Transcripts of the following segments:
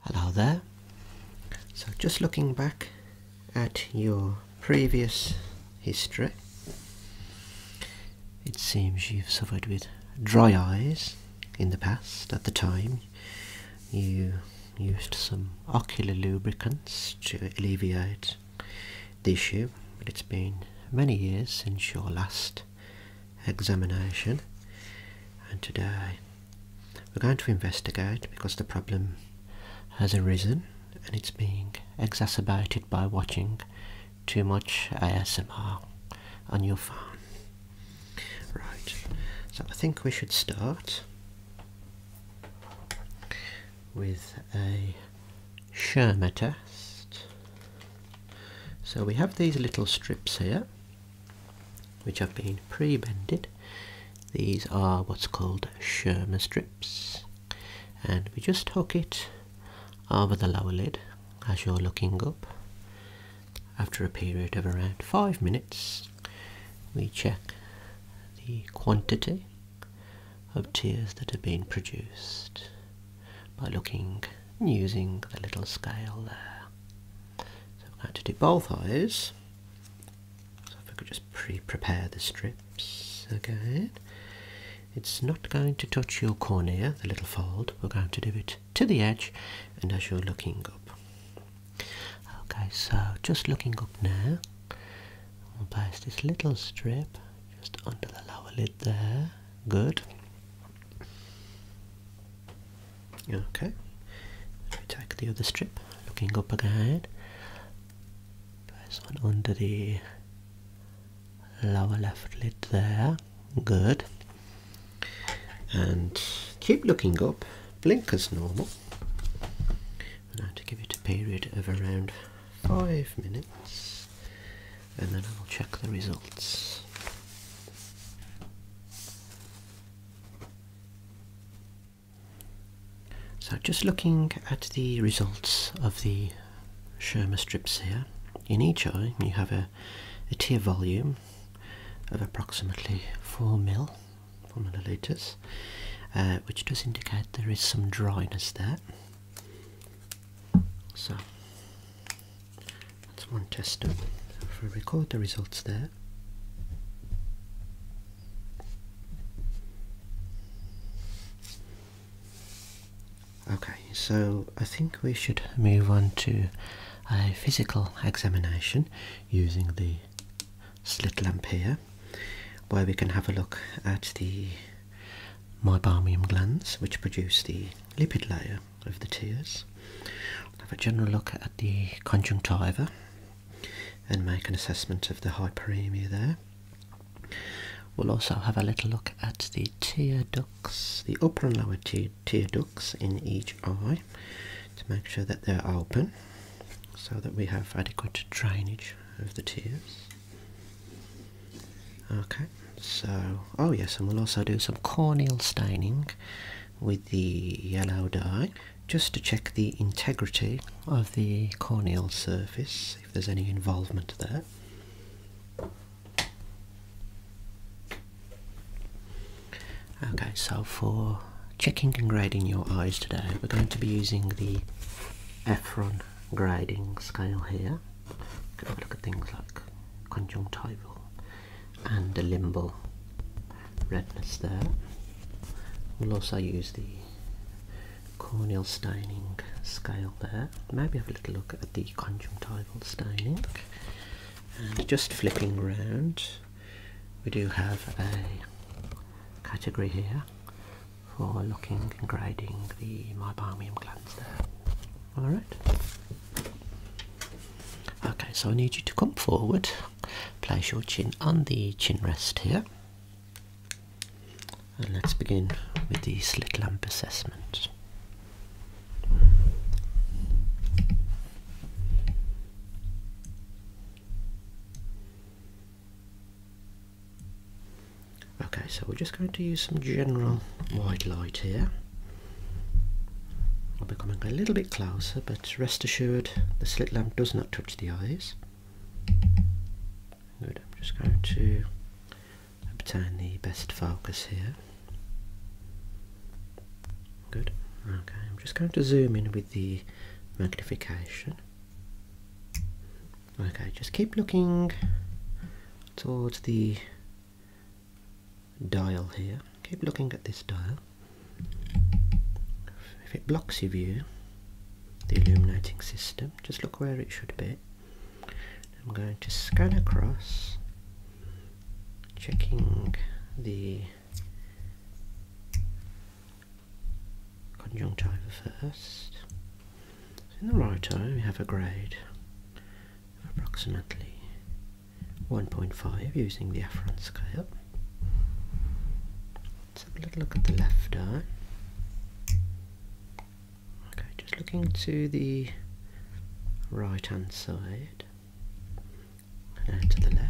Hello there. So just looking back at your previous history, it seems you've suffered with dry eyes in the past. At the time, you used some ocular lubricants to alleviate the issue, but it's been many years since your last examination, and today we're going to investigate because the problem has arisen and it's being exacerbated by watching too much ASMR on your phone. Right, so I think we should start with a Schirmer test. So we have these little strips here which have been pre-bended. These are what's called Schirmer strips, and we just hook it over the lower lid as you're looking up. After a period of around five minutes, we check the quantity of tears that have been produced by looking and using the little scale there. So I'm going to do both eyes. So if I could just pre-prepare the strips again. It's not going to touch your cornea, the little fold. We're going to do it to the edge and as you're looking up. Okay, so just looking up now, we place this little strip just under the lower lid there. Good. Okay, Take the other strip, looking up again. Press one under the lower left lid there. Good. And keep looking up, Blinkers normal. And I have to give it a period of around five minutes and then I'll check the results. So just looking at the results of the Sherma strips here, in each eye you have a, tear volume of approximately 4 mil, 4 millilitres, uh, which does indicate there is some dryness there. So that's one test done. If we record the results there, Okay, so I think we should move on to a physical examination using the slit lamp here, where we can have a look at the meibomium glands which produce the lipid layer of the tears. have a general look at the conjunctiva and make an assessment of the hyperemia there. We'll also have a little look at the tear ducts, the upper and lower tear, tear ducts in each eye to make sure that they're open so that we have adequate drainage of the tears. Okay, so, oh yes, and we'll also do some corneal staining with the yellow dye just to check the integrity of the corneal surface if there's any involvement there. Okay, so for checking and grading your eyes today, we're going to be using the Ephron grading scale here. look at things like conjunctival and the limbal redness there. We'll also use the corneal staining scale there. Maybe have a little look at the conjunctival staining. And just flipping round, we do have a category here for looking and grading the meibomium glands there. Alright. Okay, so I need you to come forward, place your chin on the chin rest here, and let's begin with the slit lamp assessment. Okay, so we're just going to use some general white light here i am becoming a little bit closer, but rest assured the slit lamp does not touch the eyes. Good, I'm just going to obtain the best focus here. Good, okay, I'm just going to zoom in with the magnification. Okay, just keep looking towards the dial here. Keep looking at this dial. If it blocks your view, the illuminating system, just look where it should be. I'm going to scan across, checking the conjunctiva first. In the right eye we have a grade approximately 1.5 using the afferent scale. Let's have a little look at the left eye. Okay, just looking to the right hand side and to the left.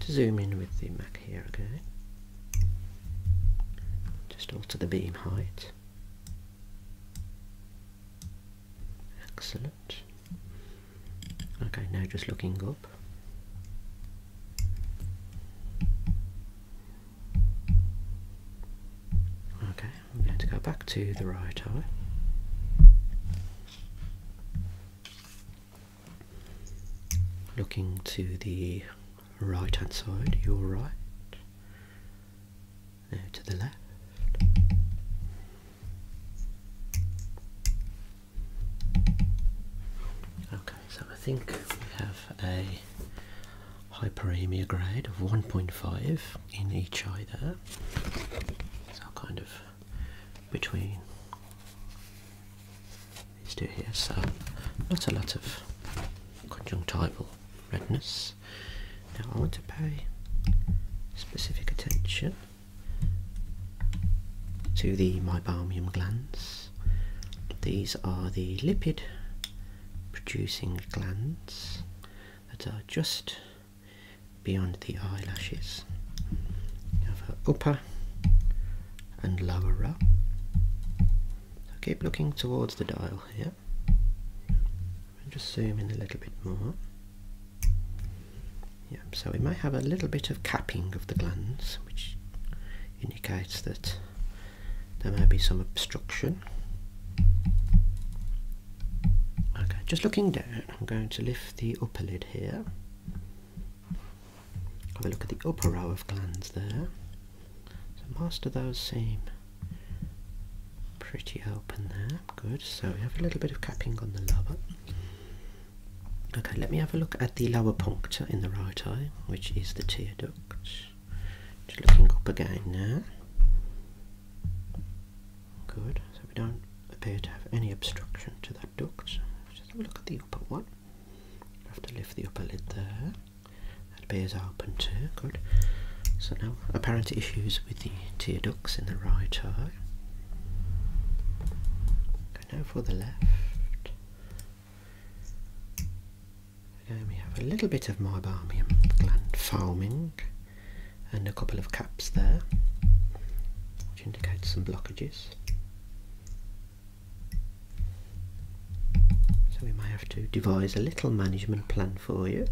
to zoom in with the Mac here again. Just alter the beam height. Excellent. Okay, now just looking up. Okay, I'm going to go back to the right eye. Looking to the right hand side, your right. There to the left. Okay, so I think we have a hyperemia grade of 1.5 in each eye there. So kind of between these two here, so not a lot of conjunctival redness. Now I want to pay specific attention to the meibalmium glands. These are the lipid producing glands that are just beyond the eyelashes. You have upper and lower row. So keep looking towards the dial here. And just zoom in a little bit more. Yeah, so we may have a little bit of capping of the glands, which indicates that there may be some obstruction. Okay, just looking down, I'm going to lift the upper lid here. Have a look at the upper row of glands there. So master those seem pretty open there. Good. So we have a little bit of capping on the lower. Okay, let me have a look at the lower puncture in the right eye, which is the tear duct. Just looking up again now. Good. So we don't appear to have any obstruction to that duct. Just have a look at the upper one. Have to lift the upper lid there. That appears open too, good. So no apparent issues with the tear ducts in the right eye. And now for the left. Again we have a little bit of meibomium gland foaming and a couple of caps there, which indicates some blockages. So we might have to devise a little management plan for you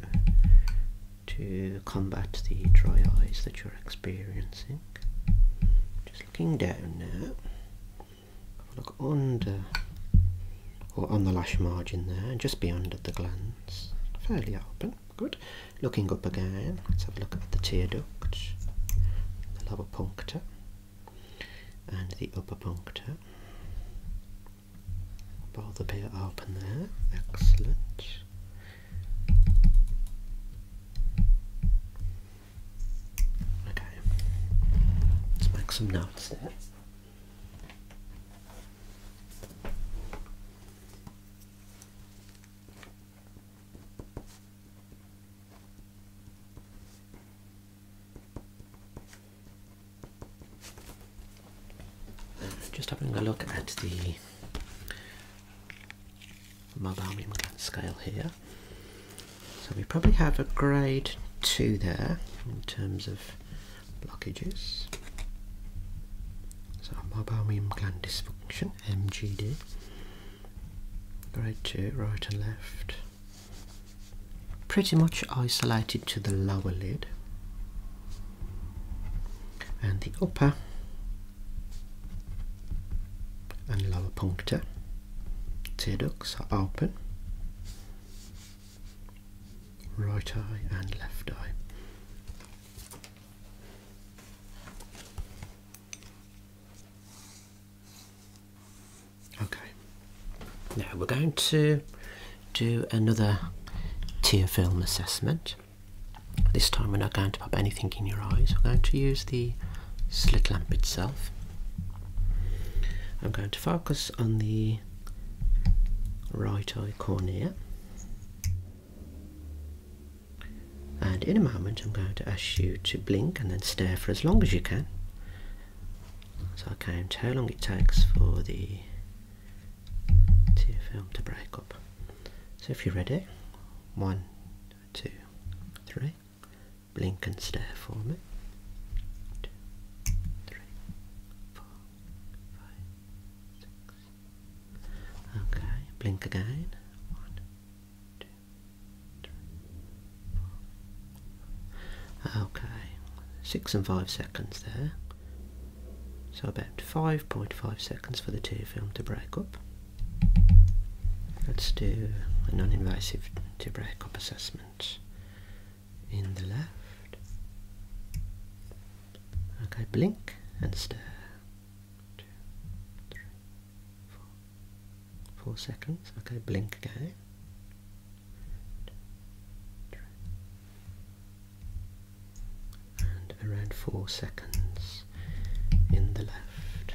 to combat the dry eyes that you're experiencing. Just looking down now. look under or on the lash margin there and just beyond at the glands. Fairly open. Good. Looking up again. Let's have a look at the tear duct, the lower puncta and the upper puncture. Both appear open there. Excellent. Okay, let's make some notes there. Just having a look at the Mullarmium scale here. So we probably have a grade 2 there in terms of blockages. So Mullarmium gland dysfunction, MGD. Grade 2, right and left pretty much isolated to the lower lid and the upper and lower puncture tear ducts are open right eye and left eye Okay. Now we're going to do another tear film assessment. This time we're not going to pop anything in your eyes. We're going to use the slit lamp itself. I'm going to focus on the right eye cornea. And in a moment I'm going to ask you to blink and then stare for as long as you can so I count how long it takes for the to film to break up. So if you're ready, one, two, three, blink and stare for me. Okay, blink again. Okay, six and five seconds there. So about 5.5 seconds for the tear film to break up. Let's do a non-invasive tear break-up assessment in the left. Okay, blink and stare. Four seconds. Okay, blink again. And around four seconds in the left.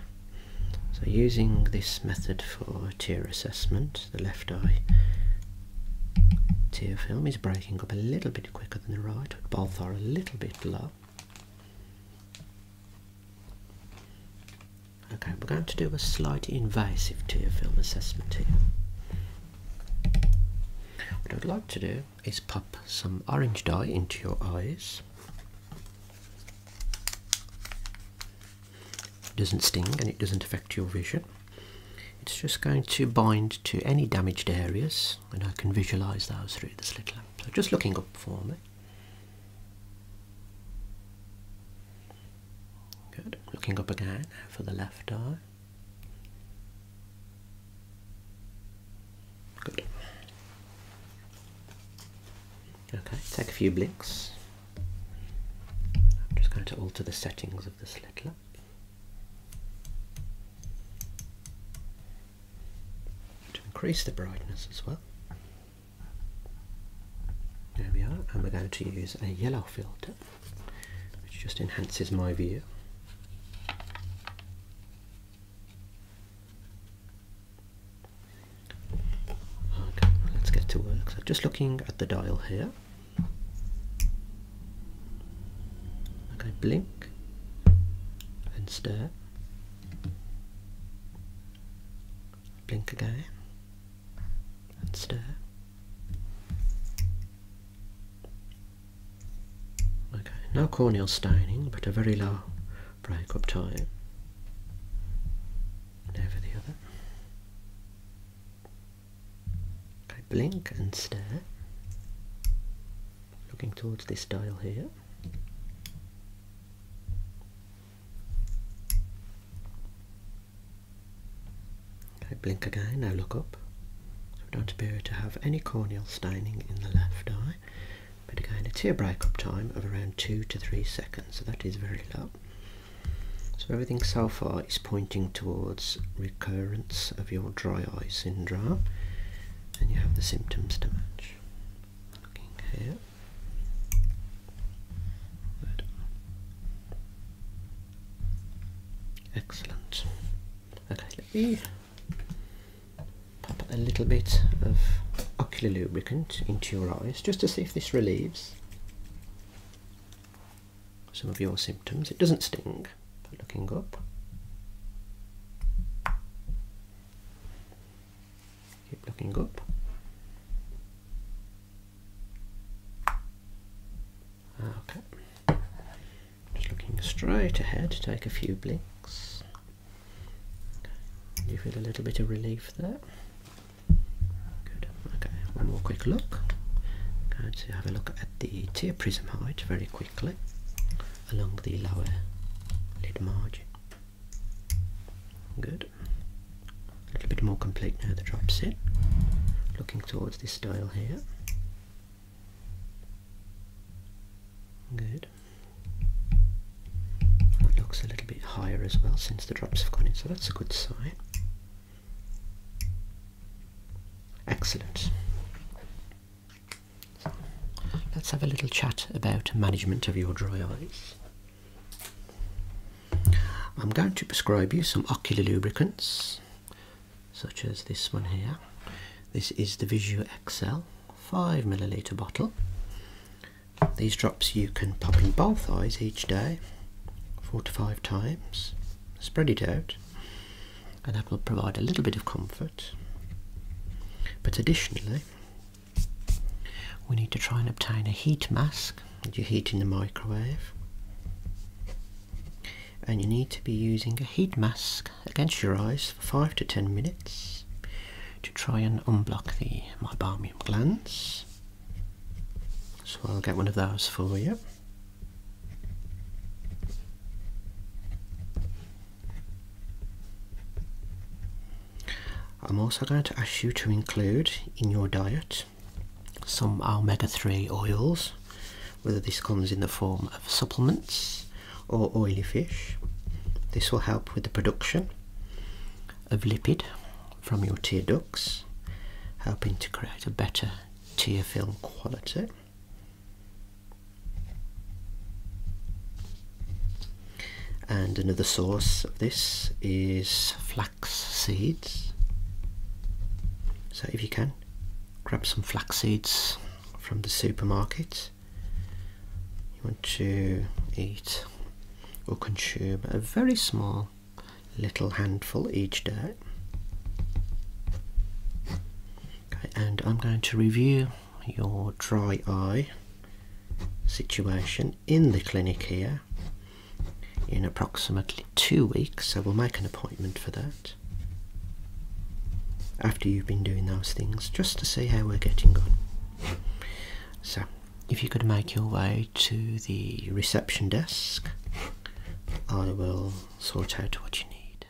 So using this method for tear assessment, the left eye tear film is breaking up a little bit quicker than the right, both are a little bit low. Okay, we're going to do a slightly invasive tear film assessment here. What I'd like to do is pop some orange dye into your eyes. It doesn't sting and it doesn't affect your vision. It's just going to bind to any damaged areas and I can visualise those through this little lamp. So just looking up for me. Good. Looking up again for the left eye. Good. Okay, take a few blinks. I'm just going to alter the settings of the slit lamp. To increase the brightness as well. There we are, and we're going to use a yellow filter, which just enhances my view. Okay, let's get to work. So just looking at the dial here. Okay, blink, then stare. Blink again and stare. Okay, no corneal staining, but a very low break-up time. Over the other. Okay, blink and stare. Looking towards this dial here. Okay, blink again, now look up. So don't appear to have any corneal staining in the left eye. But again, it's break-up time of around two to three seconds, so that is very low. So everything so far is pointing towards recurrence of your dry eye syndrome and you have the symptoms to match looking here. Excellent. Okay, let me pop a little bit of ocular lubricant into your eyes just to see if this relieves some of your symptoms. It doesn't sting by looking up. Keep looking up. Okay. Just looking straight ahead, take a few blinks. Okay. You feel a little bit of relief there. Good. Okay, one more quick look. Going to have a look at the tear prism height very quickly along the lower lid margin. Good. A little bit more complete now the drops in. Looking towards this dial here. Good. That looks a little bit higher as well since the drops have gone in, so that's a good sign. Excellent. Let's have a little chat about management of your dry eyes. I'm going to prescribe you some ocular lubricants, such as this one here. This is the Visio XL 5 milliliter bottle. These drops you can pop in both eyes each day, four to five times. Spread it out, and that will provide a little bit of comfort. But additionally, we need to try and obtain a heat mask you are heating the microwave. And you need to be using a heat mask against your eyes for 5 to 10 minutes to try and unblock the meibomium glands. So I'll get one of those for you. I'm also going to ask you to include in your diet some omega 3 oils, whether this comes in the form of supplements or oily fish. This will help with the production of lipid from your tear ducts, helping to create a better tear film quality. And another source of this is flax seeds. So if you can, grab some flax seeds from the supermarket. You want to eat or consume a very small little handful each day. Okay, and I'm going to review your dry eye situation in the clinic here in approximately two weeks, so we'll make an appointment for that after you've been doing those things just to see how we're getting on. So, if you could make your way to the reception desk, I will sort out what you need.